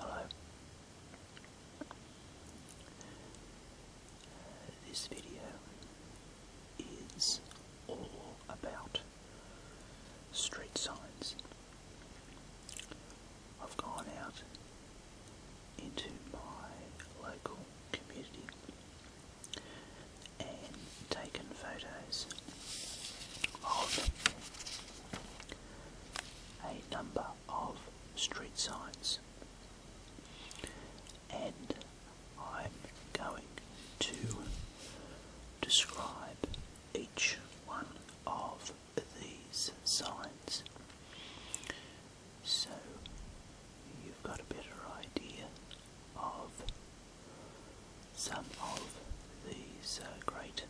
Hello. This video is all about street signs. I've gone out into my local community and taken photos of a number of street signs, and I'm going to describe each one of these signs so you've got a better idea of some of these uh, great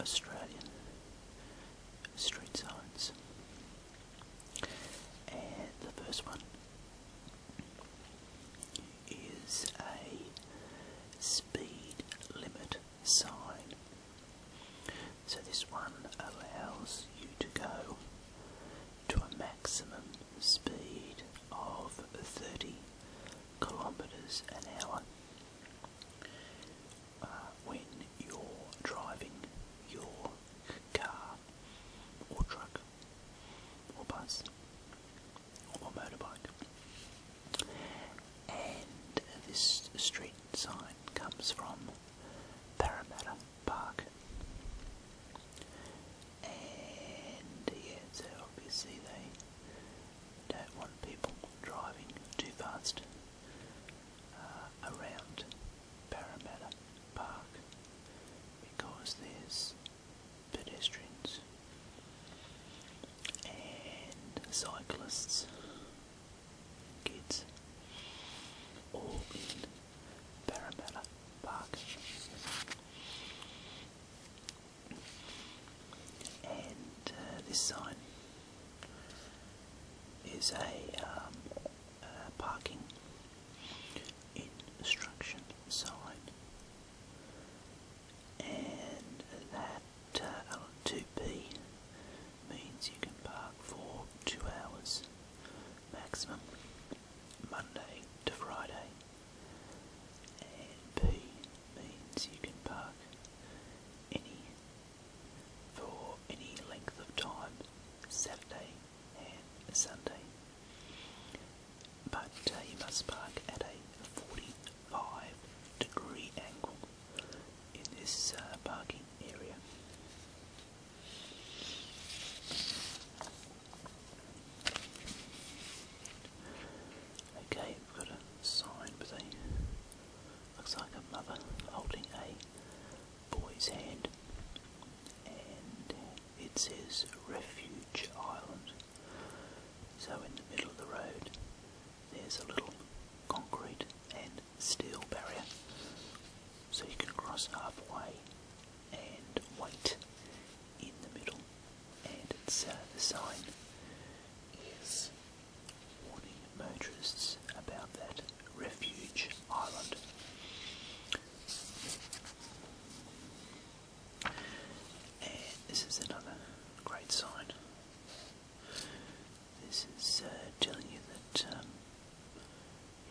Australian street signs. And the first one is a speed limit sign. So this one allows you to go to a maximum speed of 30 kilometers an hour. Uh, when you're driving your car or truck or bus or motorbike. And this street sign comes from Parramatta Park. And yeah, so obviously they don't want people driving too fast uh, around Parramatta Park because there's pedestrians and cyclists, kids, all in Parramatta Park. And uh, this sign is um, a, parking instruction sign, and that uh, 2B means you can park for two hours maximum, Monday to Friday. And P means you can park any for any length of time, Saturday and Sunday. But uh, you must park at a 45 degree angle in this uh, parking area. Okay, we've got a sign with a looks like a mother holding a boy's hand, and it says Refuge Island. So, in the middle of the road, there's a little concrete and steel barrier so you can cross halfway and white in the middle, and it's uh, the sign is warning motorists about that refuge island. And this is another great sign. This is uh, telling you that um,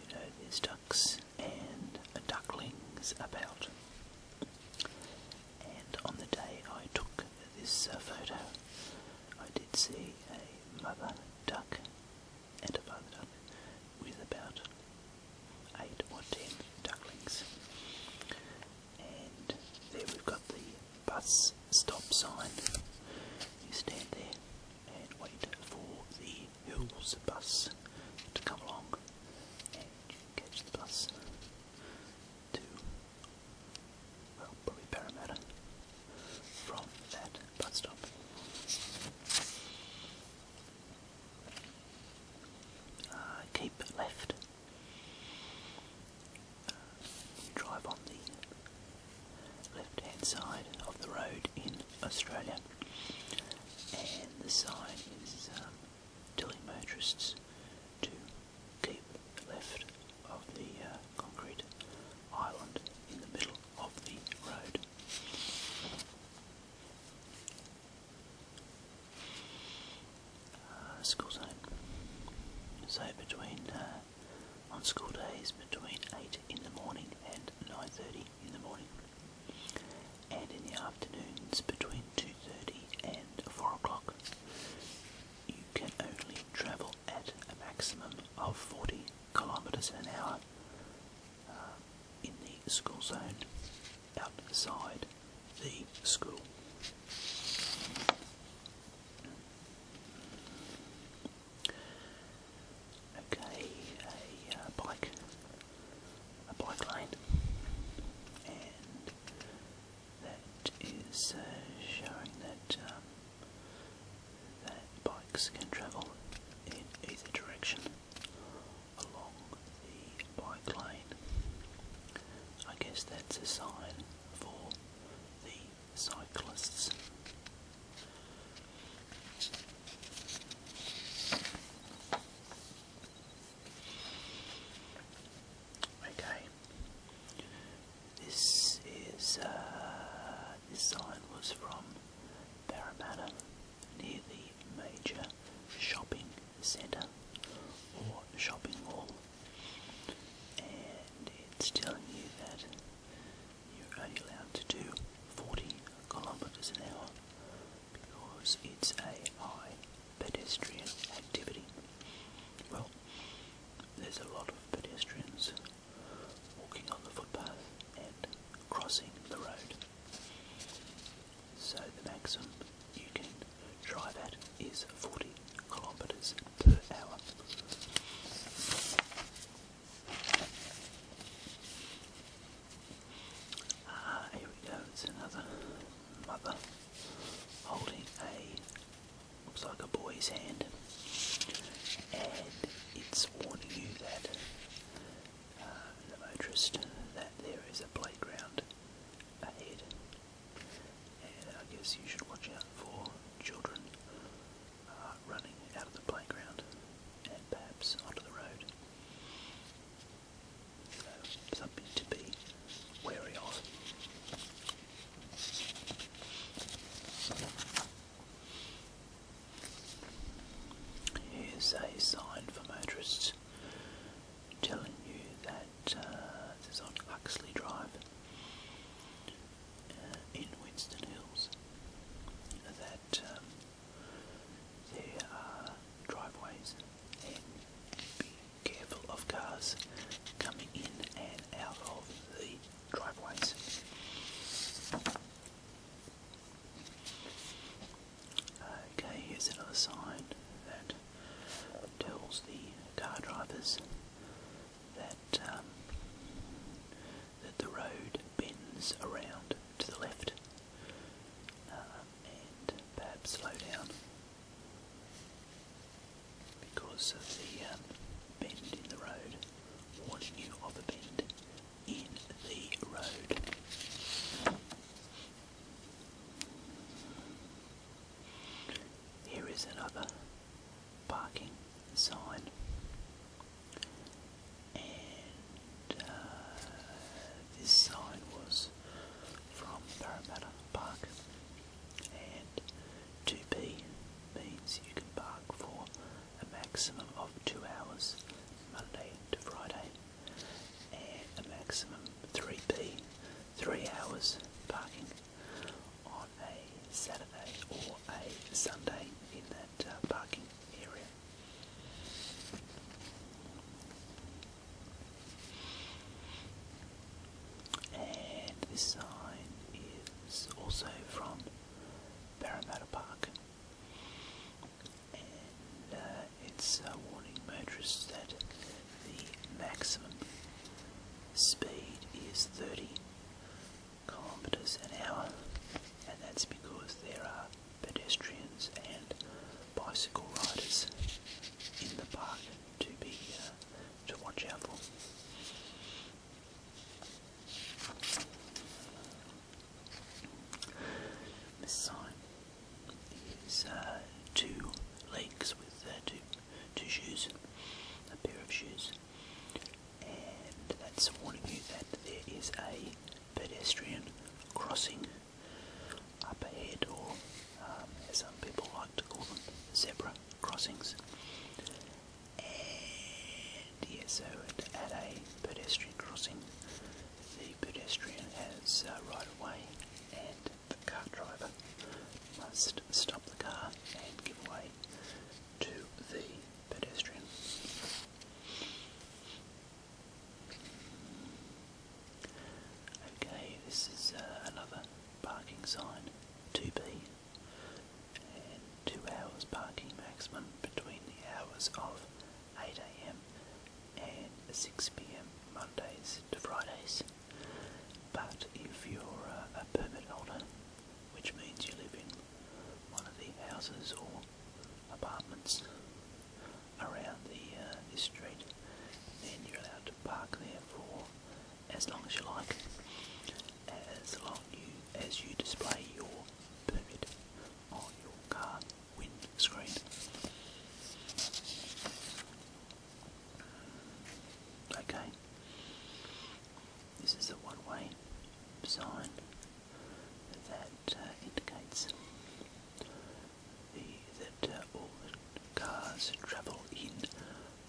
you know, there's ducks and ducklings about. And on the day I took this uh, photo, I did see a mother duck and a father duck with about eight or ten ducklings. And there we've got the bus stop sign. You stand there and wait for the Who's the bus to come along and catch the bus well, probably Parramatta from that bus stop. Uh, keep left. Uh, drive on the left hand side of the road in Australia. And the sign is um, telling motorists to keep left of the uh, concrete island in the middle of the road. Uh, school zone. So between uh, on school days between eight in the morning and nine thirty in the morning, and in the afternoons between 2.30 and 4 o'clock, you can only travel at a maximum of 40 kilometres an hour uh, in the school zone outside the school. Okay, a uh, bike, a bike lane, and that is uh, showing um, that bikes can travel in either direction along the bike lane. I guess that's a sign for the cyclists. Okay. This is uh, this sign was from Parramatta, near the major shopping centre or shopping mall, and it's telling you that you're only allowed to do 40 kilometers an hour because it's a high pedestrian activity. Well, there's a lot of pedestrians walking on the footpath and crossing the road. So the maximum you can drive at is 40 kilometers per hour. Ah, here we go, it's another mother holding a, looks like a boy's hand, and it's warning you that, uh, the motorist, that there is a playground ahead, and I guess you should watch out for children running out of the playground and perhaps onto the road. So, something to be wary of. Here's a sign for motorists telling you that uh, this is on Huxley Drive uh, in Winston Hills that um, there are driveways and be careful of cars coming in and out of the driveways. Okay, here's another sign that tells the car drivers that um, that the road bends around to the left um, and perhaps slow down because of the um, bend in the road, warning you of a bend in the road. Here is another parking sign and uh, this sign was from Parramatta Park and 2 p means you can park for a maximum of two hours Monday to Friday and a maximum 3 p, three hours parking a Saturday or a Sunday in that uh, parking area. And this sign is also from Parramatta Park. And uh, it's uh, warning motorists that the maximum speed is 30 kilometers an hour, and that's because there are pedestrians and bicycle riders in the park to be uh, to watch out for. This sign is uh, two legs with uh, two, two shoes, a pair of shoes, that's warning you that there is a pedestrian crossing up ahead, or um, as some people like to call them, zebra crossings. And yes, so at, at a pedestrian crossing, the pedestrian has uh, right of way, and the car driver must stop the car and give way to the pedestrian. Okay, this is uh, another parking sign, 2B, and 2 hours parking maximum between the hours of 8am and 6pm, Mondays to Fridays. But if you're uh, a permit holder which means you live in one of the houses or apartments around the uh, street, then you're allowed to park there for as long as you like, as long you as you display your permit on your car windscreen. Okay. This is a one-way sign that uh, indicates that uh, all the cars travel in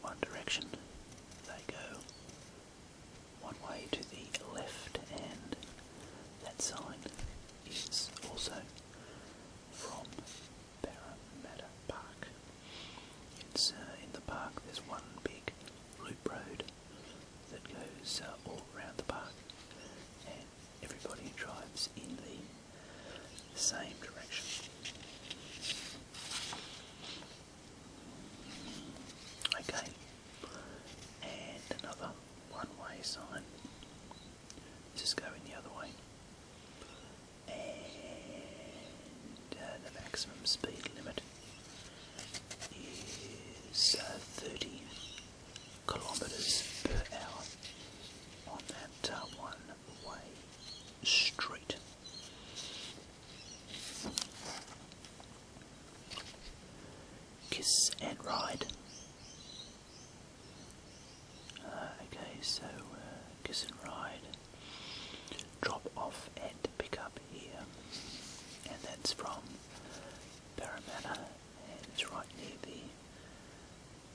one direction. They go one way to the left, and that sign is also from Parramatta Park. It's uh, in the park. There's one big loop road that goes uh, all around the park, and everybody drives in the same direction. Okay, and another one-way sign. Just going the other way and uh, the maximum speed limit is uh, 30 kilometers per hour on that uh, one-way street. Kiss and ride. Uh, okay, so kiss and ride. Drop off and pick up here. And that's from Parramatta and it's right near the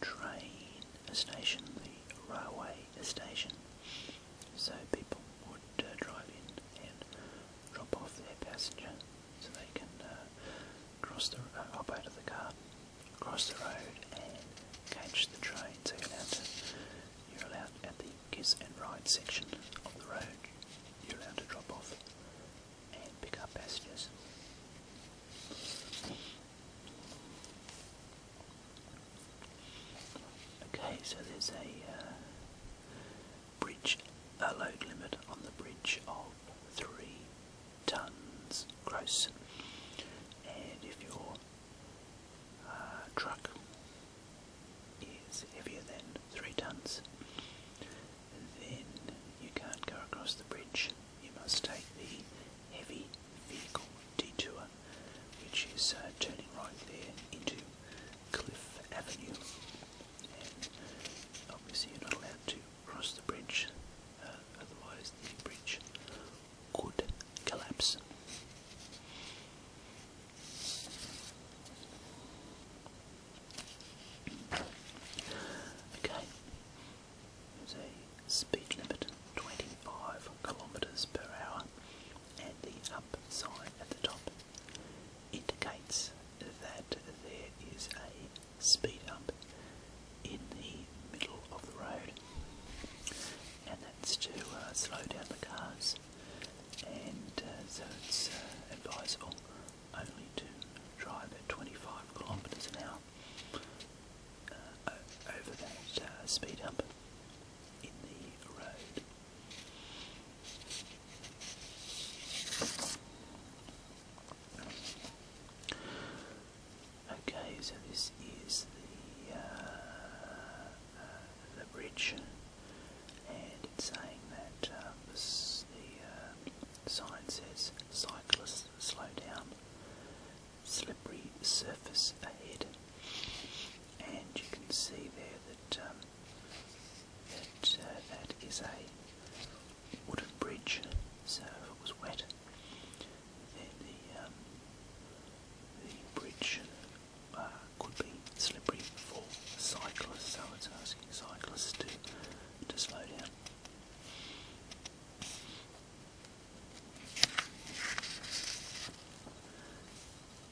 train station, the railway station. So people would uh, drive in and drop off their passenger so they can uh, cross the uh, up out of the car cross the road and catch the train. you're allowed, you're allowed at the kiss and ride section of the road. You're allowed to drop off and pick up passengers. Okay, so there's a uh, bridge, a load limit on the bridge of three tons gross, and if you're uh, truck is heavier than three tons, then you can't go across the bridge. You must take the heavy vehicle detour, which is uh, turning right there into Cliff Avenue. obviously, you're not allowed to cross the bridge, uh, otherwise, the bridge could collapse. Okay, there's a speed limit 25 kilometers per hour, and the up sign at the top indicates that there is a speed up in the middle of the road, and that's to uh, slow down the cars. And uh, so it's uh, advisable only to drive at 25 kilometres an hour over that speed hump in the road. Okay, so this is the uh, uh, the bridge, and it's saying that uh, the uh, sign says cyclists slow down, slippery surface ahead, and you can see there that um, that that is a wooden bridge. So if it was wet, the, the, um, the bridge uh, could be slippery for cyclists, so it's asking cyclists to, to slow down.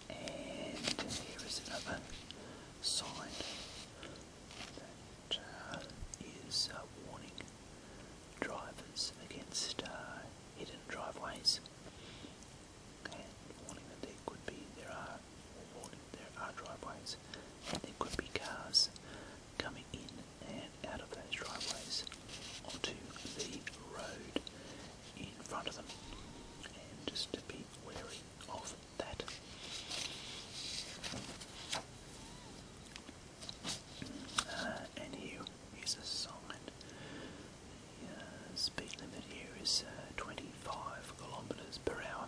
And here is another sign that uh, is a uh, warning drivers against uh, hidden driveways, and warning that there could be there are warning there are driveways, and could be cars coming in and out of those driveways onto the road in front of them, and just to be wary of that. Uh, and here is a sign. The uh, speed limit here is uh, 25 kilometers per hour.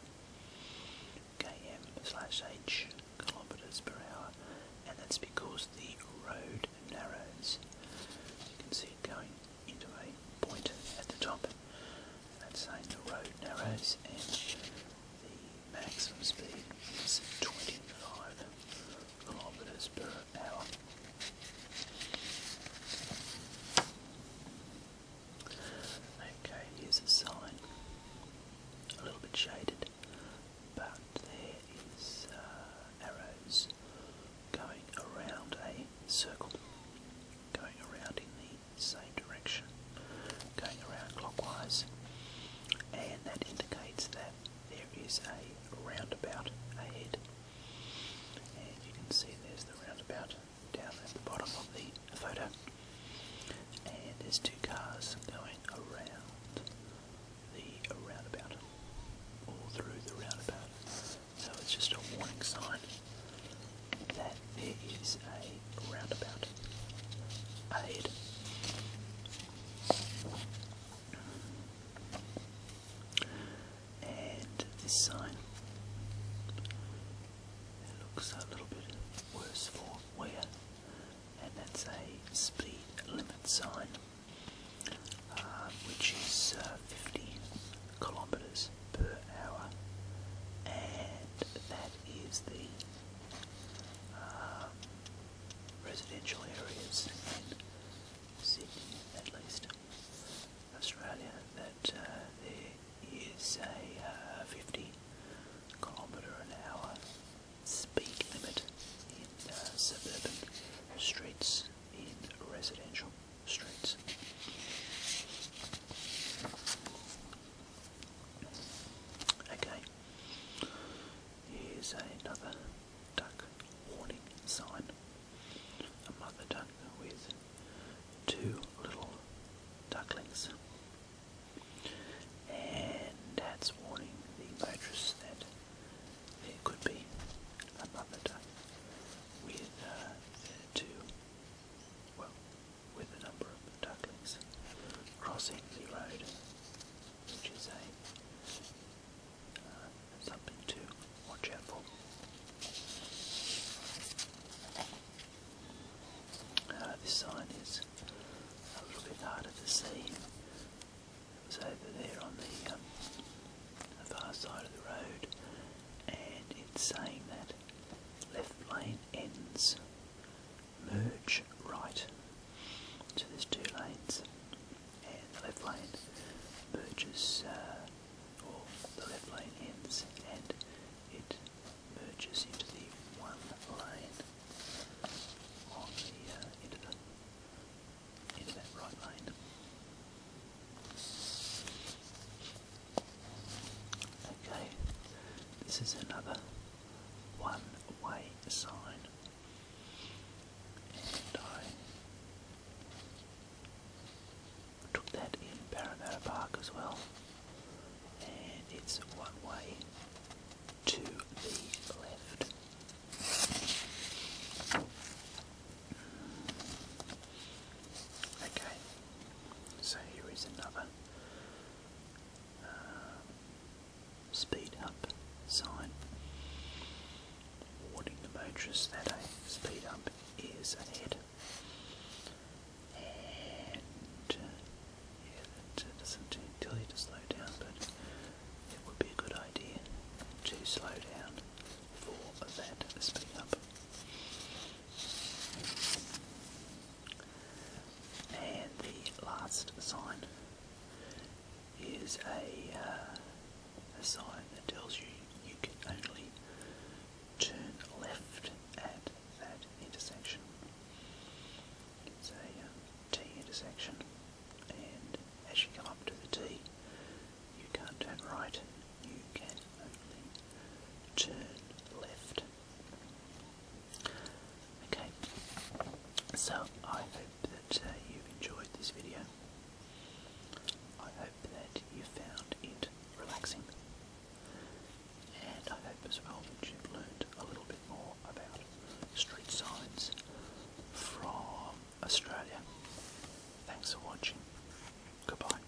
KM H and that's because the road narrows. You can see it going into a point at the top. that's saying the road narrows and the maximum speed is 29 kilometers per hour. Okay, here's a sign, a little bit shaded, but there is uh, arrows going around a circle, going around in the same direction going around clockwise, and that indicates that there is a roundabout ahead. And you can see there's the roundabout down at the bottom of the photo, and there's two cars going around the roundabout, all through the roundabout. So it's just a warning sign that there is a roundabout ahead. And this sign looks a little bit worse for wear, and that's a speed limit sign, uh, which is uh, 50 kilometers per hour, and that is the uh, residential areas in Sydney, at least, Australia, that uh, there is a uh, 50 kilometre an hour speed limit in suburban streets, in residential streets. Okay, here's another duck warning sign. A mother duck with two little ducklings. And that's warning the motorists that there could be a mother duck with uh, two, well, with a number of ducklings crossing the road, which is uh, something to watch out for. Uh, this sign is a little bit harder to see. It was over there on the um, far side of the road, and it's saying that left lane ends merge right. So there's two lanes, and the left lane merges, uh, or the left lane ends, and it merges into the one lane on the uh, the end that right lane. Okay, this is another one way sign, and I took that in Parramatta Park as well, and it's one way to the left. Okay, so here is another uh, speed up sign warning the motorists that a speed up is ahead. And uh, yeah, that uh, slow down, but it would be a good idea to slow down for that speed up. And the last sign is uh, a, sign that tells you you can only turn left at that intersection. It's a um, T intersection, and as you come up to the T, you can't turn right, you can only turn left. Okay, so I hope that uh, you enjoyed this video. I hope that you found it relaxing. And I hope as well that you've learned a little bit more about street signs from Australia. Thanks for watching. Goodbye.